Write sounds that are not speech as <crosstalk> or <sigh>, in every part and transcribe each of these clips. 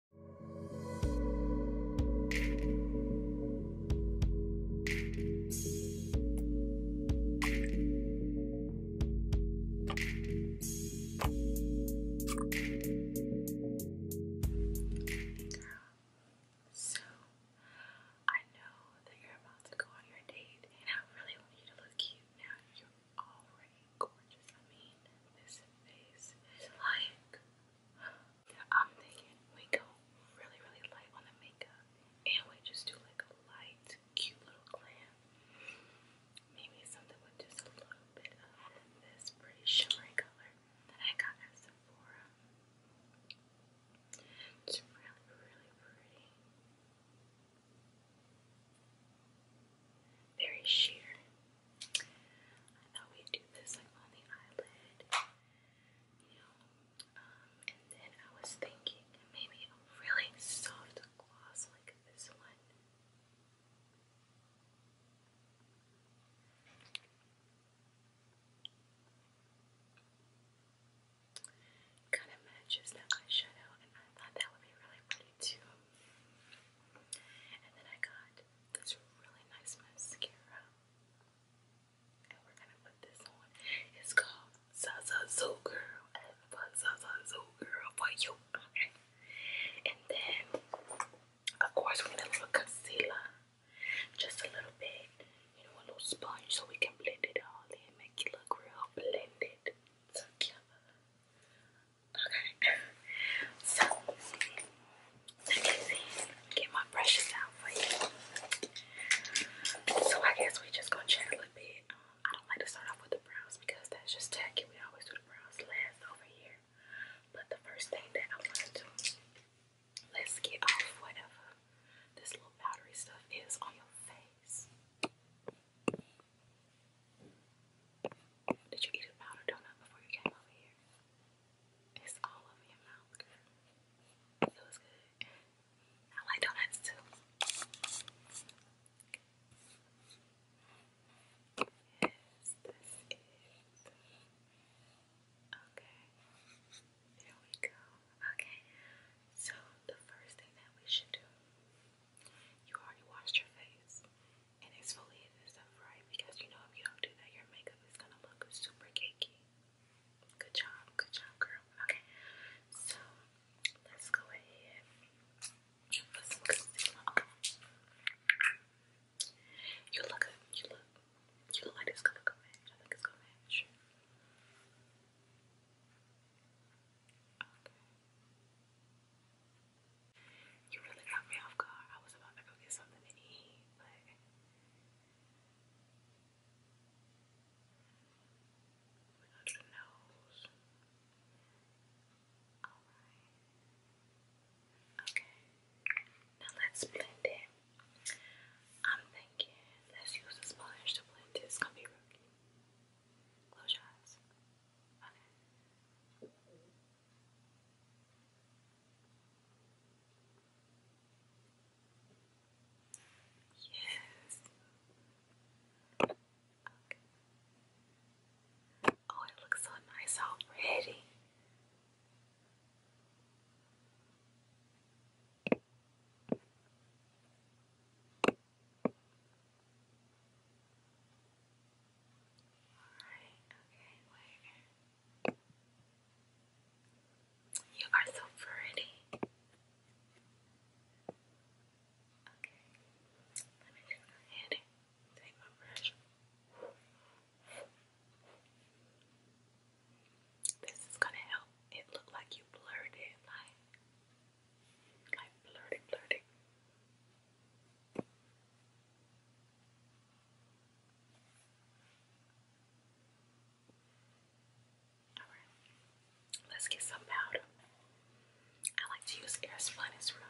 So, I know that you're about to go on your date, and I really want you to look cute now. You're already gorgeous. I mean, this face is like I'm thinking we go really, really light on the makeup and we just do like a light, cute little glam. Maybe something with just a little bit of this pretty shimmery color that I got at Sephora. It's really, really pretty. Very sheer. I thought we'd do this like on the eyelid, you know. Um, and then I was thinking maybe a really soft gloss like this one. Kind of matches that eyeshadow, and I thought that would be really pretty too. And then I got this really nice mascara. And we're gonna put this on. It's called Zaza Zoo Girl. And put Zaza Zoo Girl for you. Okay. And then, of course, we need a little concealer. Just a little bit. You know, a little sponge so we can blend it all in. Make it look real blended together. Okay. So look at these. Get my brushes out for you. So I guess we just gonna chat a little bit. Um, I don't like to start off with the brows because that's just tacky. We always do the brows last over here. But the first thing that I want to do, let's get off whatever this little powdery stuff is on your face. Did you eat a powder donut before you came over here? It's all over your mouth, girl. It good. I like donuts too. Yes, Okay. There we go. Okay. So the first thing that we should do, you already washed your face and exfoliate and stuff, right? Because you know if you don't do that, your makeup is gonna look super cakey. Good job, good job, girl. Okay, so let's go ahead You look You look. You look like this gonna match. I think it's gonna match. Okay. You really got me off guard. I was about to go get something to eat, but we got your nose. Alright. Okay. Now let's blend it. I'm thinking let's use a sponge to blend this. It's gonna be rookie. Close your Okay. Yes. Okay. Oh, it looks so nice already. Alright, You are so pretty. Okay, let me just go ahead take my brush. This is gonna help it look like you blurred it, like, like blurred it, Alright, let's get some powder. I like to use air Airspun, it's real nice.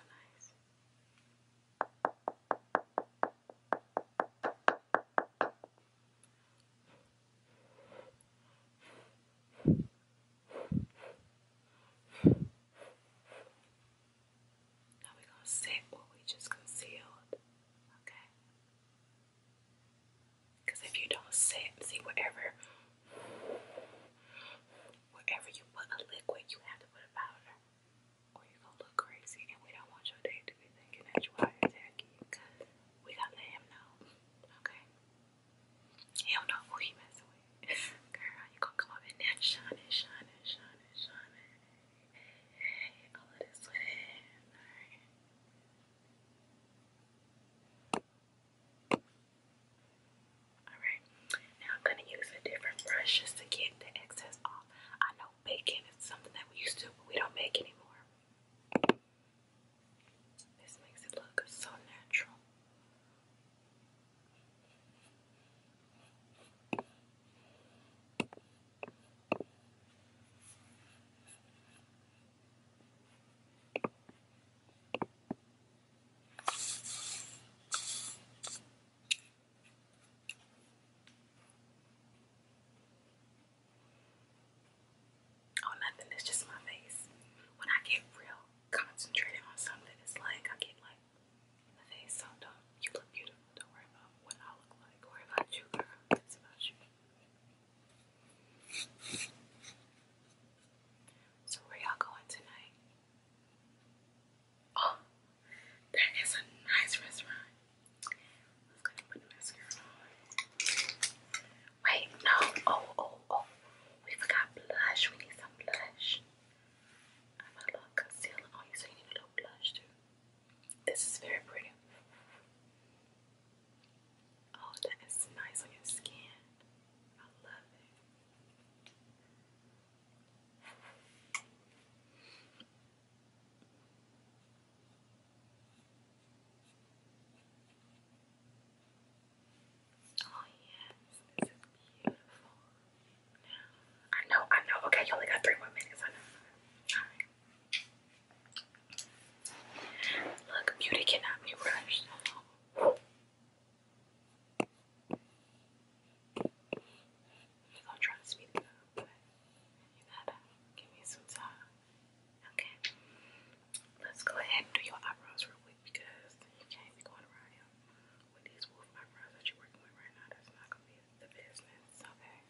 Now we're going to set what we just concealed, okay? Because if you don't set, see wherever, wherever you put a liquid, you have to put a powder, or you going to look crazy, and we don't want your date to be thinking that you are attacking. We got to let him know, okay? He do know who he messing with. Girl, you gonna come up in there shining, shining, shining, shining. Hey, hey, all of this way. Alright. Alright, now I'm gonna use a different brush just to get the excess off. I know baking is something that we used to, but we don't make anymore. This makes it look so natural. Oh, nothing. It's just my face. When I get real concentrated on something, it's like I get like in the face. So do you look beautiful. Don't worry about what I look like. Worry about you, girl. It's about you. So where y'all going tonight? Oh, that is a nice restaurant. I'm going put mascara on. Wait, no. Oh, oh, oh. We forgot blush. We need some blush. I'm a little concealer. Oh, so you need a little blush too. This is very pretty. Oh, that is nice on your skin. I love it. Oh yes, this is beautiful. I know, I know. Okay, you only got three more minutes. Look, beauty cannot be rushed. We're try to speed it up, you gotta give me some time. Okay. Let's go ahead and do your eyebrows real quick because you can't be going around here with these wolf eyebrows that you're working with right now, that's not gonna be the business, okay?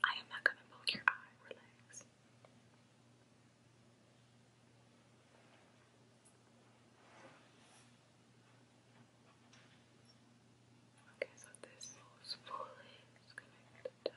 I am not gonna poke your eye, relax. Okay, so this is fully connected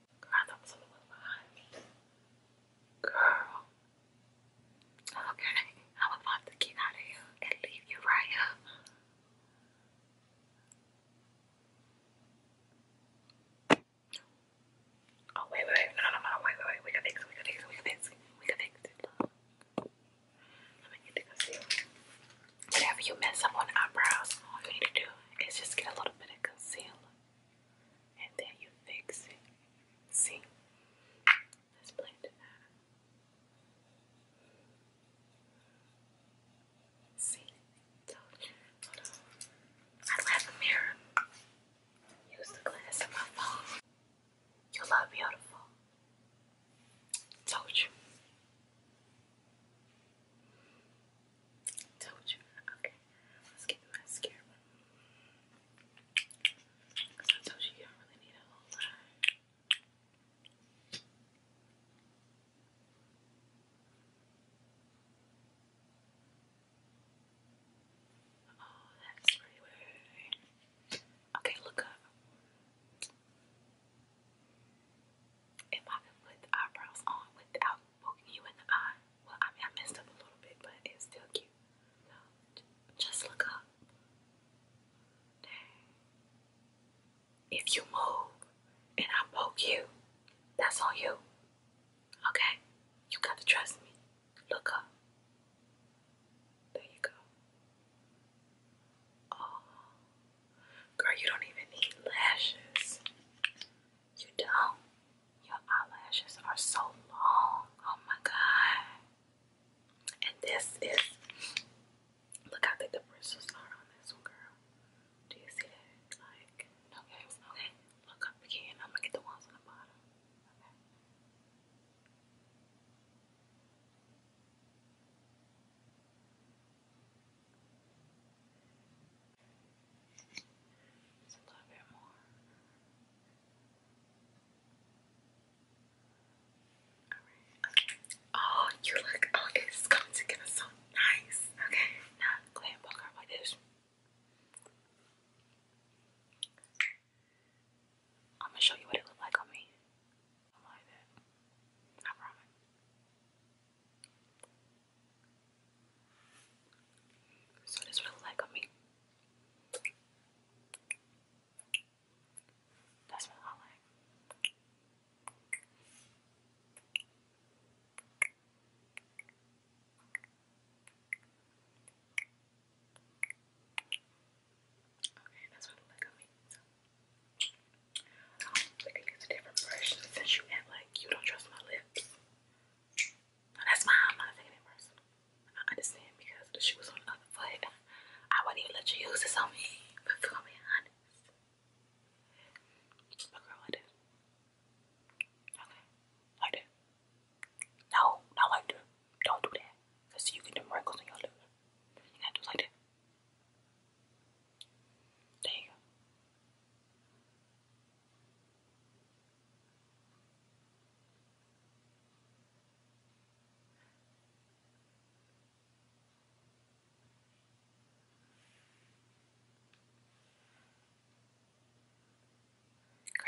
Girl, Okay, I would love to get out of here and leave you right here. Oh, wait, wait, No, no, no, wait, wait, We can fix it. We can fix it. We can fix it. We can fix it. Let me get the concealer. Whenever you mess up on eyebrows, all you need to do is just get a little bit of concealer and then you fix it. See? Let's play it out. See? Hold on. I don't mirror. Use the glass of my You look beautiful. Told you. Told you. Okay. Let's get the mascara. Because I told you you don't really need a whole Oh, that's pretty Okay, look up if I put eyebrows on without poking you in the eye. Well, I messed up a little bit, but it's still cute. So, just look up. If you move and I poke you, that's on you. Okay? You gotta trust me. Look up. There you go. Oh. Girl, you don't even need lashes. You don't. Your eyelashes are so long. Oh my god. And this is look how thick the bristles are on this one, girl. Do you see that? Like, no Okay, look up again. I'm gonna get the ones on the bottom. Oh, you look, oh, it's coming together so nice. Okay, now go ahead like this. I'm gonna show you what it looked like on me. So this will like on me. That's what I Okay, that's what I like on me. So. Um, I can use a different brush since you act like you don't trust my lips. That's fine. I'm not taking it personal. I understand because the shoe was on the other foot. I wouldn't even let you use this on me. But if i honest, but girl, like this. Okay, like that. No, not like that. Don't do that. Cause you get them wrinkles in your lips. You gotta do like that. There you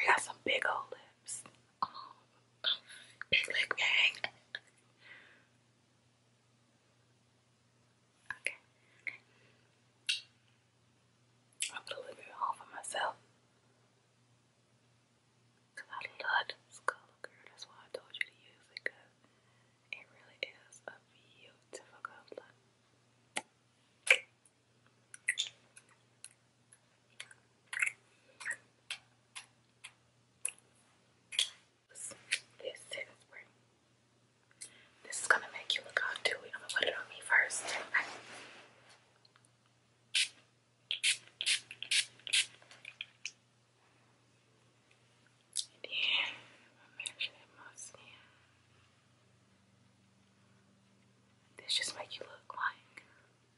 We got some big old lips. Oh, big lip gang. Okay. I put a little bit on for myself. Because I love color, girl. That's why I told you to use it. Because it really is a beautiful color. This is spring. This is gonna make you look all dewy. I'm gonna put it on me first. Okay. This just make you look like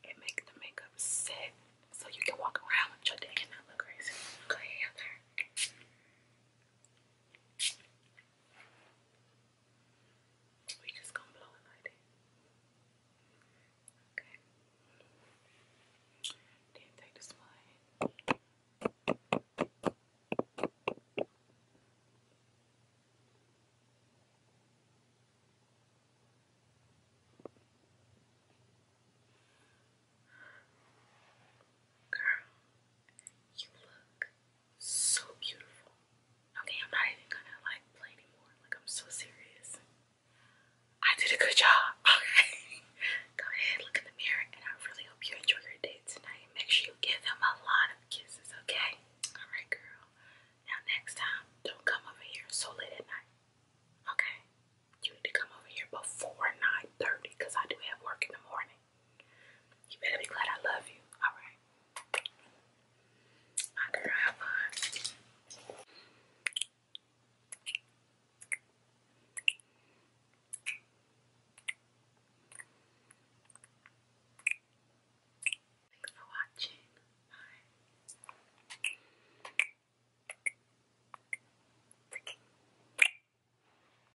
it make the makeup set so you can walk around with your day and not look crazy. Go ahead, we just gonna blow it like that. Okay. Then take this one. Girl, you look so beautiful. Okay, I'm not even gonna like play anymore. Like I'm so serious. I did a good job. <laughs> Go ahead, look in the mirror, and I really hope you enjoy your day tonight. Make sure you give them a lot of kisses, okay? Alright girl. Now next time, don't come over here so late at night. Okay? You need to come over here before 9:30 because I do have work in the morning. You better be glad I love you. Alright. My girl, have fun. Thanks for watching. Bye.